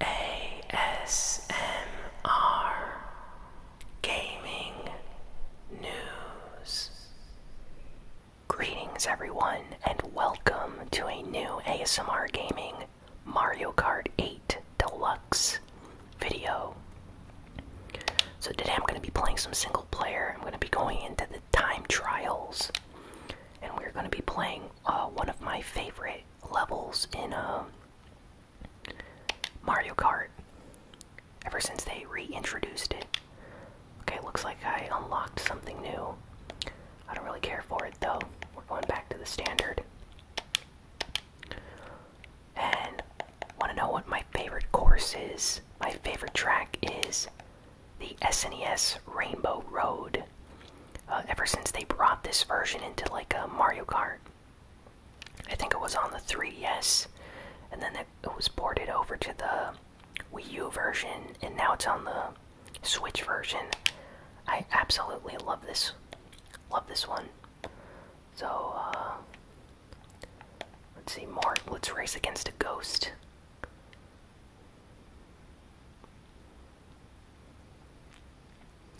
ASMR Gaming News. Greetings, everyone, and welcome to a new ASMR Gaming Mario Kart 8 Deluxe video. So, today I'm going to be playing some single player. I'm going to be going into the time trials and we're going to be playing uh, one of my favorite levels in um, Mario Kart ever since they reintroduced it. Okay, looks like I unlocked something new. I don't really care for it though. We're going back to the standard. And want to know what my favorite course is? My favorite track is the SNES Rainbow Road. Uh, ever since they brought this version into like a uh, Mario Kart, I think it was on the 3DS, and then it, it was ported over to the Wii U version, and now it's on the Switch version. I absolutely love this, love this one. So uh, let's see more. Let's race against a ghost.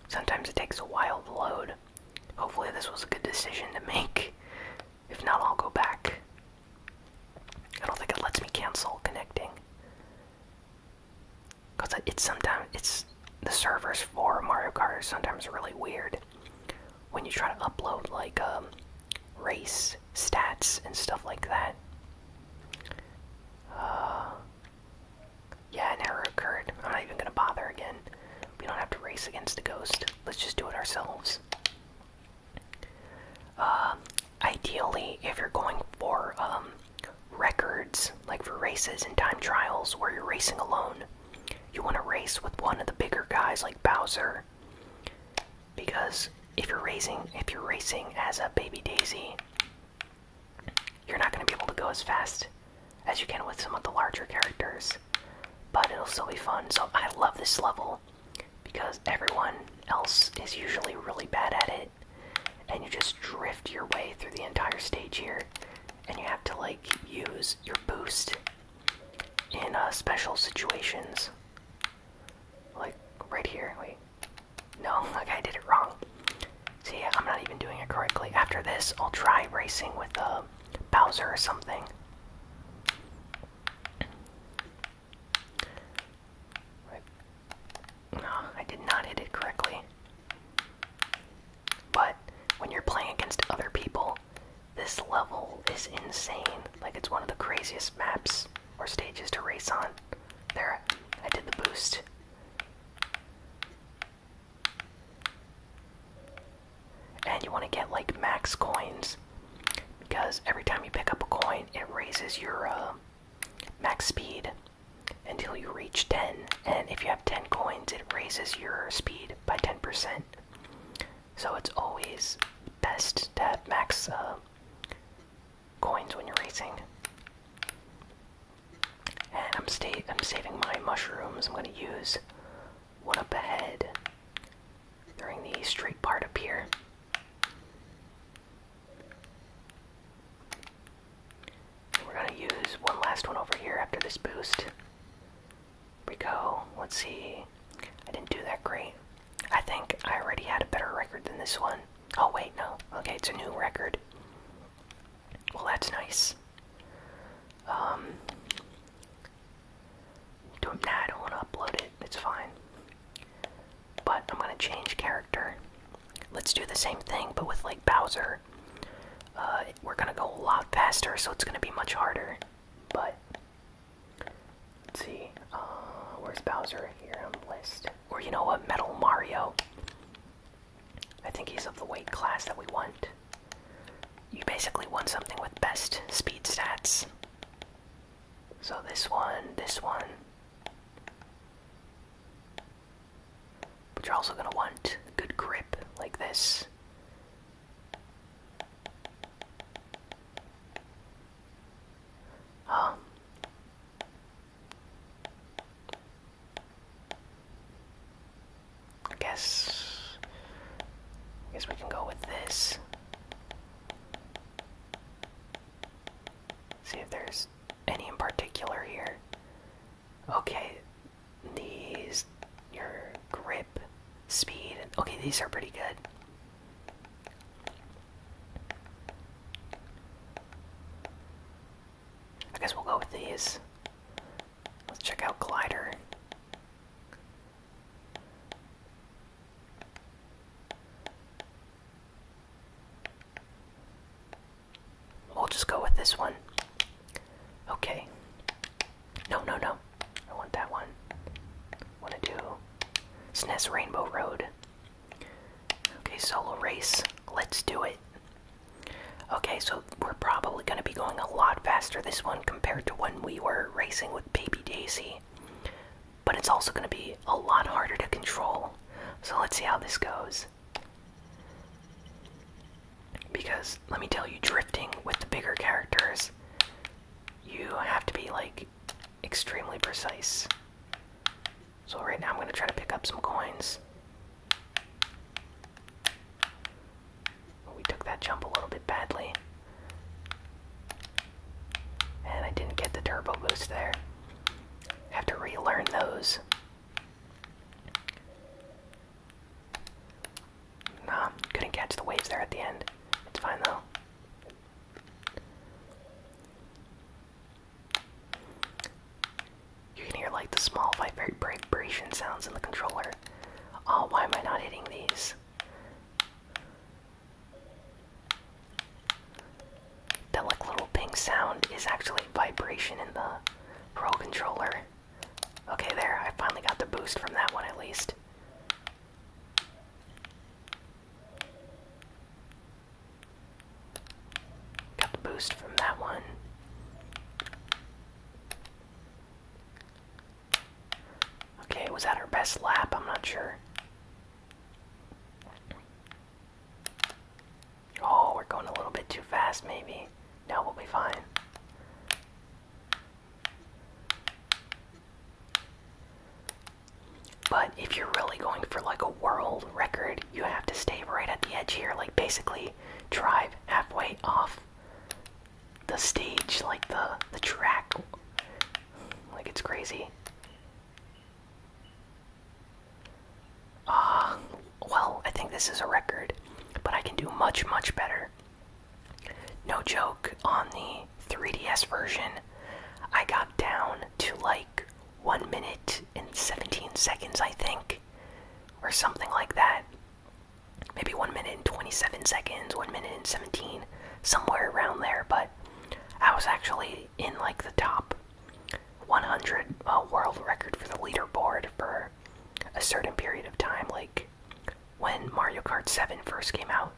Sometimes it takes a while to load. Hopefully, this was a good decision to make. If not, I'll go back. I don't think it lets me cancel connecting. Cause it's sometimes it's the servers for Mario Kart are sometimes really weird. When you try to upload like a um, race stats and stuff like that. Uh, yeah, an error occurred. I'm not even gonna bother again. We don't have to race against the ghost. Let's just do it ourselves. Um, ideally, if you're going for um, records, like for races and time trials where you're racing alone, you want to race with one of the bigger guys like Bowser because if you're racing, if you're racing as a baby daisy, you're not going to be able to go as fast as you can with some of the larger characters. But it'll still be fun. So I love this level because everyone else is usually really bad at it, and you just drift your way through the entire stage here, and you have to like use your boost in uh, special situations. Like, right here, wait. No, like I did it wrong. See, I'm not even doing it correctly. After this, I'll try racing with uh, Bowser or something. No, I did not hit it correctly. But when you're playing against other people, this level is insane. Like, it's one of the craziest maps or stages to race on. There, I did the boost. And you want to get like max coins because every time you pick up a coin, it raises your um, max speed until you reach 10. And if you have 10 coins, it raises your speed by 10%. So it's always best to have max um, coins when you're racing. And I'm saving my mushrooms. I'm gonna use one up ahead during the straight part up here. We're gonna use one last one over here after this boost. Here we go. Let's see. I didn't do that great. I think I already had a better record than this one. Oh, wait, no. Okay, it's a new record. Well, that's nice. Um. nah, I don't want to upload it. It's fine. But I'm going to change character. Let's do the same thing, but with, like, Bowser. Uh, we're going to go a lot faster, so it's going to be much harder. But Let's see. Uh, where's Bowser here on the list? Or you know what? Metal Mario. I think he's of the weight class that we want. You basically want something with best speed stats. So this one, this one. But you're also gonna want good grip like this. Oh. I guess guess we can go with this. See if there's any in particular here. Okay, these your grip speed. Okay, these are pretty good. I guess we'll go with these. Let's check out Glider. We'll just go with this one. Okay. No, no, no. I want that one. Want to do SNES Rainbow Road. Okay, solo race. Let's do it. Okay, so we're probably going to be going a lot faster this one compared to when we were racing with Baby Daisy. But it's also going to be a lot harder to control. So let's see how this goes. Because, let me tell you, drifting with the bigger characters you have to be like extremely precise. So right now I'm gonna try to pick up some coins. We took that jump a little bit badly. And I didn't get the turbo boost there. Have to relearn those. Nah, couldn't catch the waves there at the end. It's fine though. You can hear like the small vibration sounds in the controller. Oh, why am I not hitting these? That like little ping sound is actually vibration in the Pro controller. Okay, there. I finally got the boost from that one at least. Got the boost from that one. Okay, was that our best lap? I'm not sure. Oh, we're going a little bit too fast, maybe. No, we'll be fine. But if you're really going for like a world record, you have to stay right at the edge here, like basically drive halfway off the stage, like the the track. Like it's crazy. Ah, well, I think this is a record, but I can do much much better. No joke, on the 3DS version, I got down to like 1 minute and 17 seconds, I think, or something like that. Maybe 1 minute and 27 seconds, 1 minute and 17, somewhere around there, but I was actually in like the top 100 uh, world record for the leaderboard for a certain period of time, when Mario Kart 7 first came out.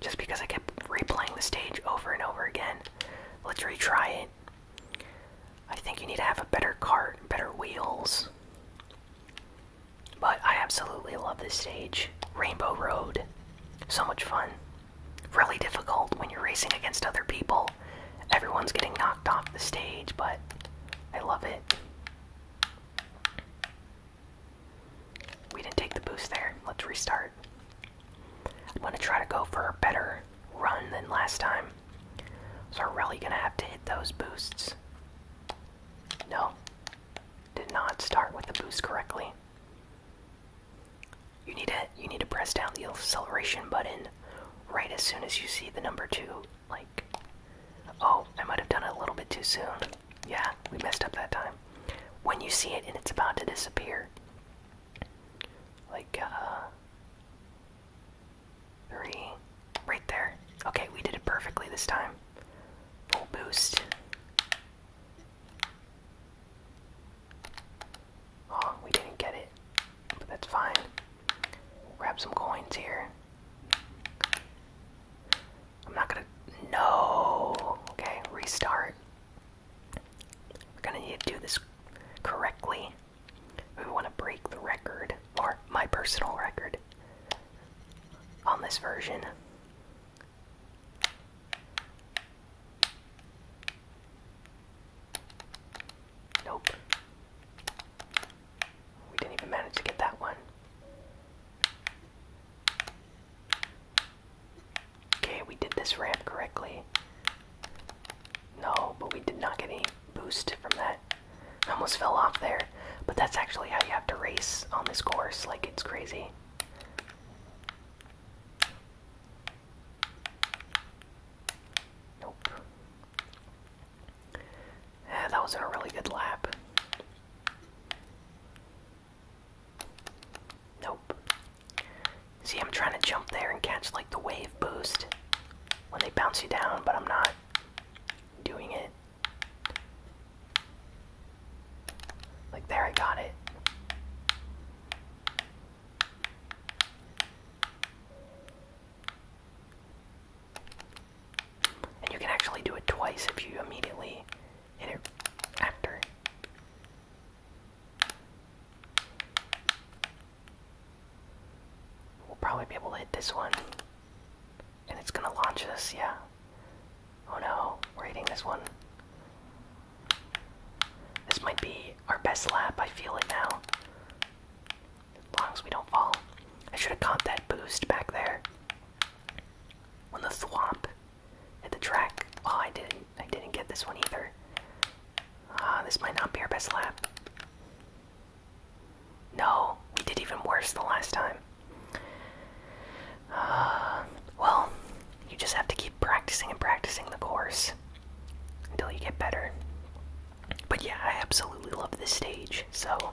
Just because I kept replaying the stage over and over again. Let's retry it. I think you need to have a better cart, better wheels. But I absolutely love this stage. Rainbow Road. So much fun. Really difficult when you're racing against other people. Everyone's getting knocked off the stage, but I love it. We didn't take the boost there. Let's restart. I'm gonna try to go for a better run than last time. So I'm really gonna have to hit those boosts. No. Did not start with the boost correctly. You need to you need to press down the acceleration button right as soon as you see the number two like oh i might have done it a little bit too soon yeah we messed up that time when you see it and it's about to disappear like uh three right there okay we did it perfectly this time full boost oh we didn't get it but that's fine Grab some coins here. I'm not gonna. No! Okay, restart. We're gonna need to do this correctly. We wanna break the record, or my personal record, on this version. Nope. We didn't even manage to get that one. Okay, we did this ramp correctly. No, but we did not get any boost from that. almost fell off there. But that's actually how you have to race on this course. Like, it's crazy. Nope. Yeah, that was a really good lap. Nope. See, I'm trying to jump there and catch like the wave boost when they bounce you down, but I'm not doing it. Like, there, I got it. And you can actually do it twice if you immediately hit it after. We'll probably be able to hit this one. And it's gonna launch us, yeah. Oh no, we're hitting this one. This might be our best lap. I feel it now. As long as we don't fall. I should have caught that boost back there. When the swamp, hit the track. Oh, I didn't. I didn't get this one either. Ah, this might not be our best lap. No, we did even worse the last time. Uh, well, you just have to keep practicing and practicing the course until you get better. But yeah, I absolutely love this stage. So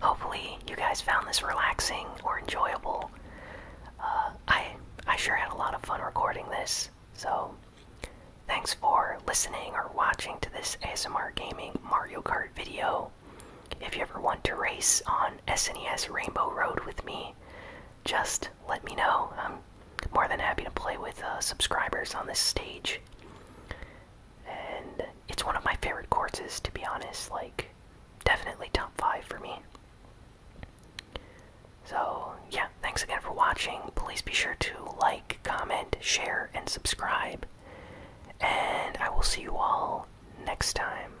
hopefully you guys found this relaxing or enjoyable. Uh, I I sure had a lot of fun recording this. So thanks for listening or watching to this ASMR gaming Mario Kart video. If you ever want to race on SNES Rainbow Road with me, just let me know more than happy to play with uh, subscribers on this stage. And it's one of my favorite courses, to be honest. Like, definitely top five for me. So, yeah, thanks again for watching. Please be sure to like, comment, share, and subscribe. And I will see you all next time.